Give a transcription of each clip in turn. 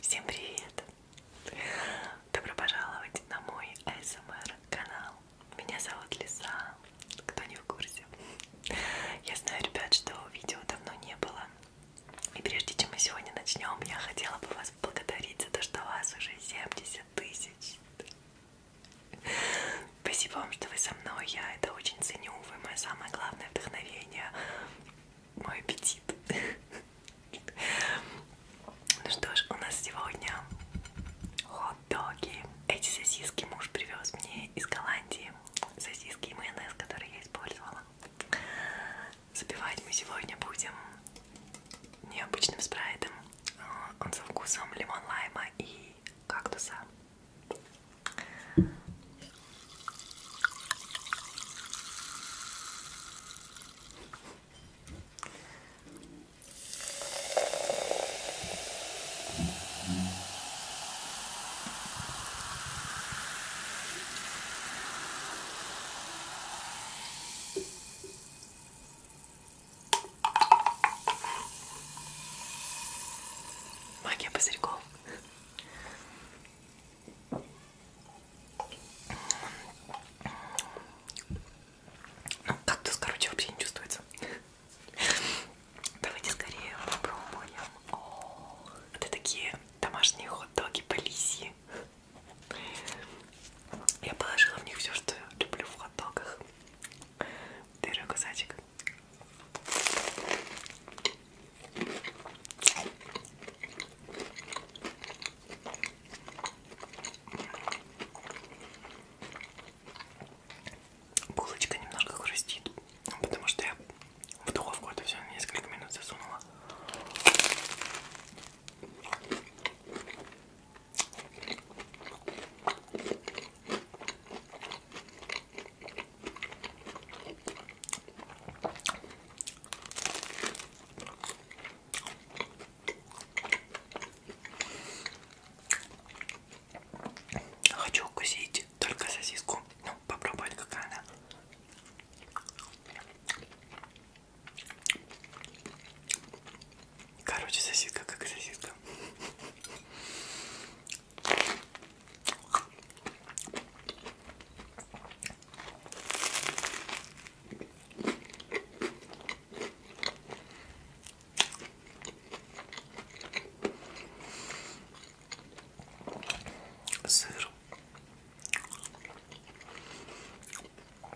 Всем привет! Добро пожаловать на мой ASMR эм канал. Меня зовут Лиса, кто не в курсе. Я знаю, ребят, что видео давно не было. И прежде чем мы сегодня начнем, я хотела бы вас поблагодарить за то, что вас уже 70 тысяч. Спасибо вам, что вы со мной. Я это очень ценю. Вы мое самое главное вдохновение. Мой аппетит. Ну что ж, у нас сегодня хот-доги. Эти сосиски муж привез мне из Голландии. Сосиски и майонез, которые я использовала. Запивать мы сегодня будем необычным спрайтом. Э, он со вкусом лимон лайма и кактуса. Магия пузырьков. Ну, кактус, короче, вообще не чувствуется. Давайте скорее попробуем. О, это такие домашние хот-доги по лиси. Я положила в них все, что люблю в хот-догах. Дырый кусачек. Булочка немножко хрустит, ну, потому что я в духовку это все несколько минут засунула. Хочу укусить только сосиску. Ну, попробовать, какая она. Короче, сосиска как сосиска. Сыр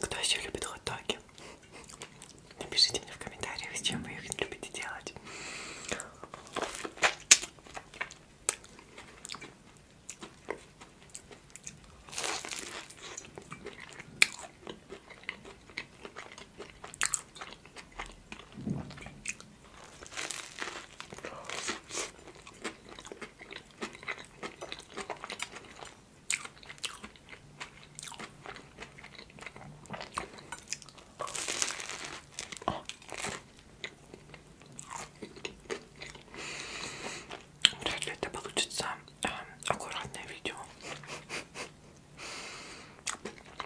Кто еще любит хот-доги? Напишите мне в комментариях, с чем вы их любите делать. Вряд ли это получится э, аккуратное видео.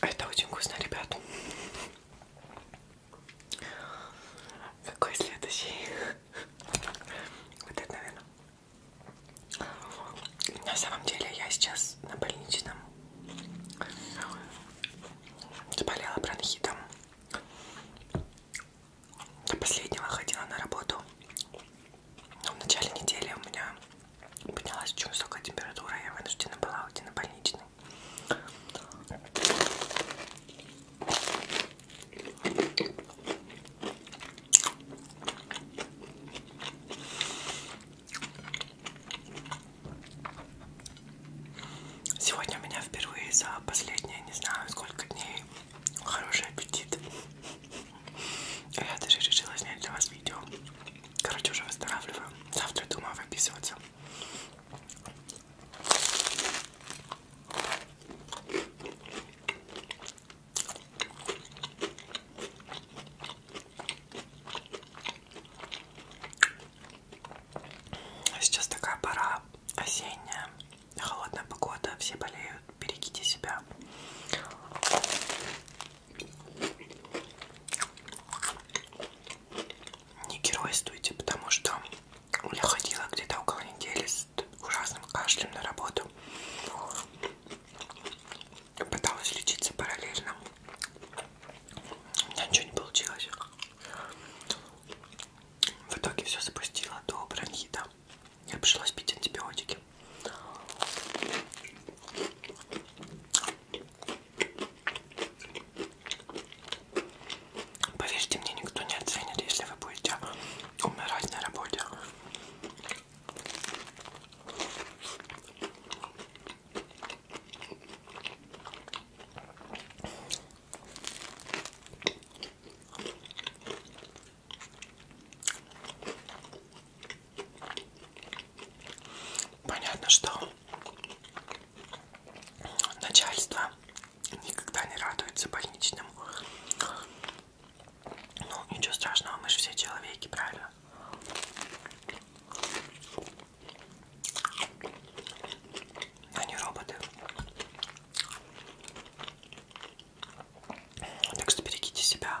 А это очень вкусно, ребят. Какой следующий? Вот это, наверное. На самом деле я сейчас на больничном заболела бронхитом. До последнего ходила на работу. Но ну, в начале недели у меня поднялась очень высокая температура, я вынуждена была уйти на больничный. Сегодня у меня впервые за последние, не знаю сколько дней, хороший аппетит. Я даже решила снять для вас видео. Короче, уже выздоравливаю. Завтра думаю выписываться. А сейчас такая пора осенняя, холодная погода, все болеют, берегите себя. Не геройствуйте, потому что я ходила где-то около недели с ужасным кашлем на работу. Пыталась лечиться параллельно. У меня ничего не получилось. В итоге все запустило до бронхита. Я пришлось пить антибиотики баночки. Поверьте мне, никто не оценит, если вы будете умирать на работе. Понятно, что начальство никогда не радуется больничному. Ну, ничего страшного, мы же все человеки, правильно? Они а роботы. Так что берегите себя.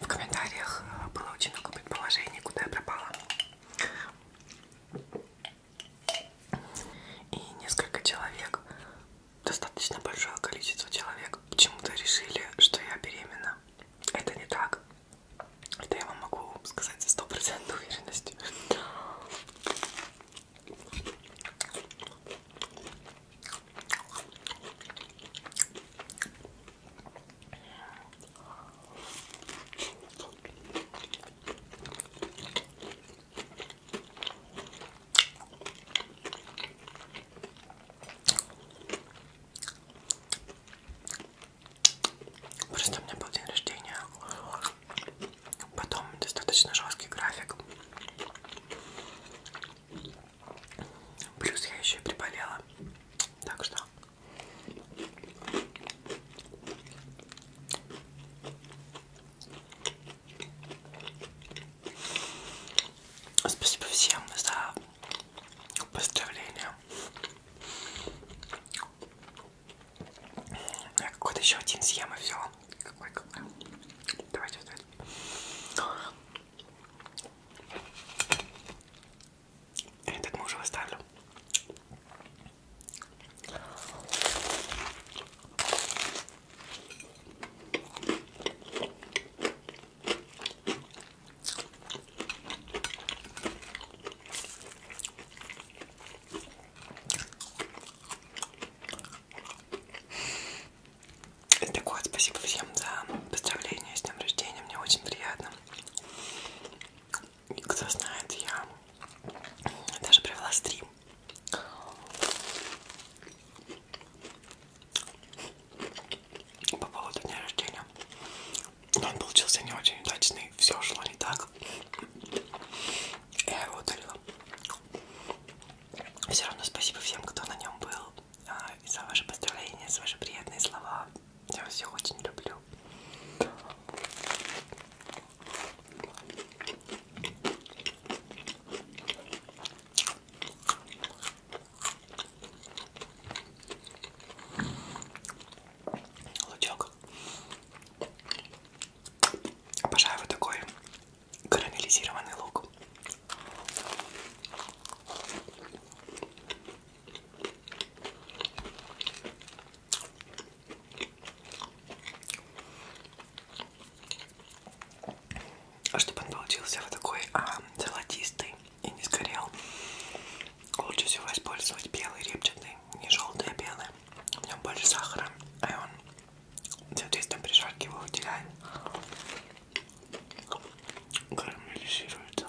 В комментариях было очень много предположений, куда я пропала. И несколько человек, достаточно большое количество человек, почему-то решили, что я беременна. Это не так. Это я вам могу сказать со стопроцентной уверенностью. Просто у меня был день рождения, потом достаточно жесткий график, плюс я еще и приболела, так что Спасибо всем за поздравления. Ну, я какой-то еще один съем и все. Какой, какой. Давайте вот этот. Этот мы уже выставлю. Так вот, спасибо всем за поздравления с днем рождения, мне очень приятно кто знает, я даже провела стрим. По поводу дня рождения. Но он получился не очень удачный. Все шло не так. Я его удалила. Все равно спасибо всем, кто на нем был. А, и за ваши поздравления, за ваши приятные слова. Я вас всех очень люблю. Лучок. Обожаю вот такой карамелизированный лук. А Чтобы он получился вот такой а, золотистый и не сгорел, лучше всего использовать белый репчатый, не желтый, а белый. В нем больше сахара, а он, соответственно, при жарке его выделяет, карамелизируется.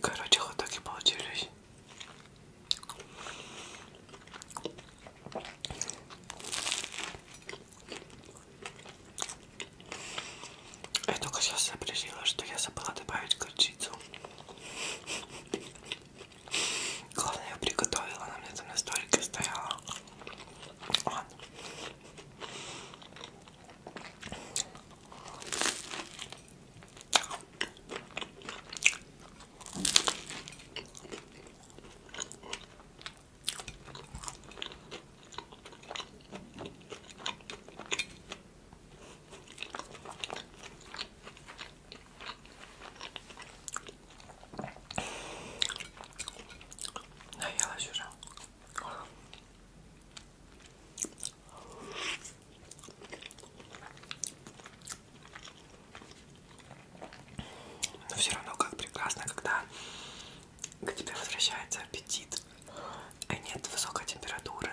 Короче, вот так и получились. Я только сейчас запретила, что я забыла добавить горчицу. Главное, я приготовила, она мне там на столике стояла. Он. Наелась уже. Но все равно как прекрасно, когда к тебе возвращается аппетит и а нет высокой температуры.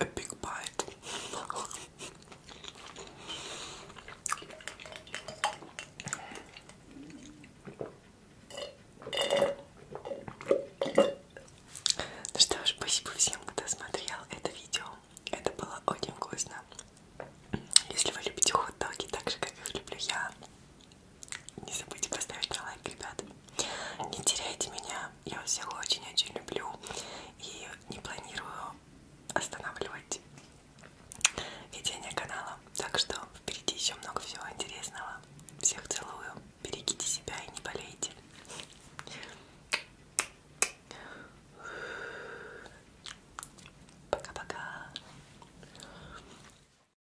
A big bite. Ну что ж, спасибо всем, кто смотрел это видео. Это было очень вкусно. Если вы любите хот-доги так же, как их люблю я, не забудьте поставить на лайк, ребята. Не теряйте меня. Я вас всех очень-очень люблю. И не планирую останавливать ведение канала. Так что впереди еще много всего интересного. Всех целую. Берегите себя и не болейте. Пока-пока.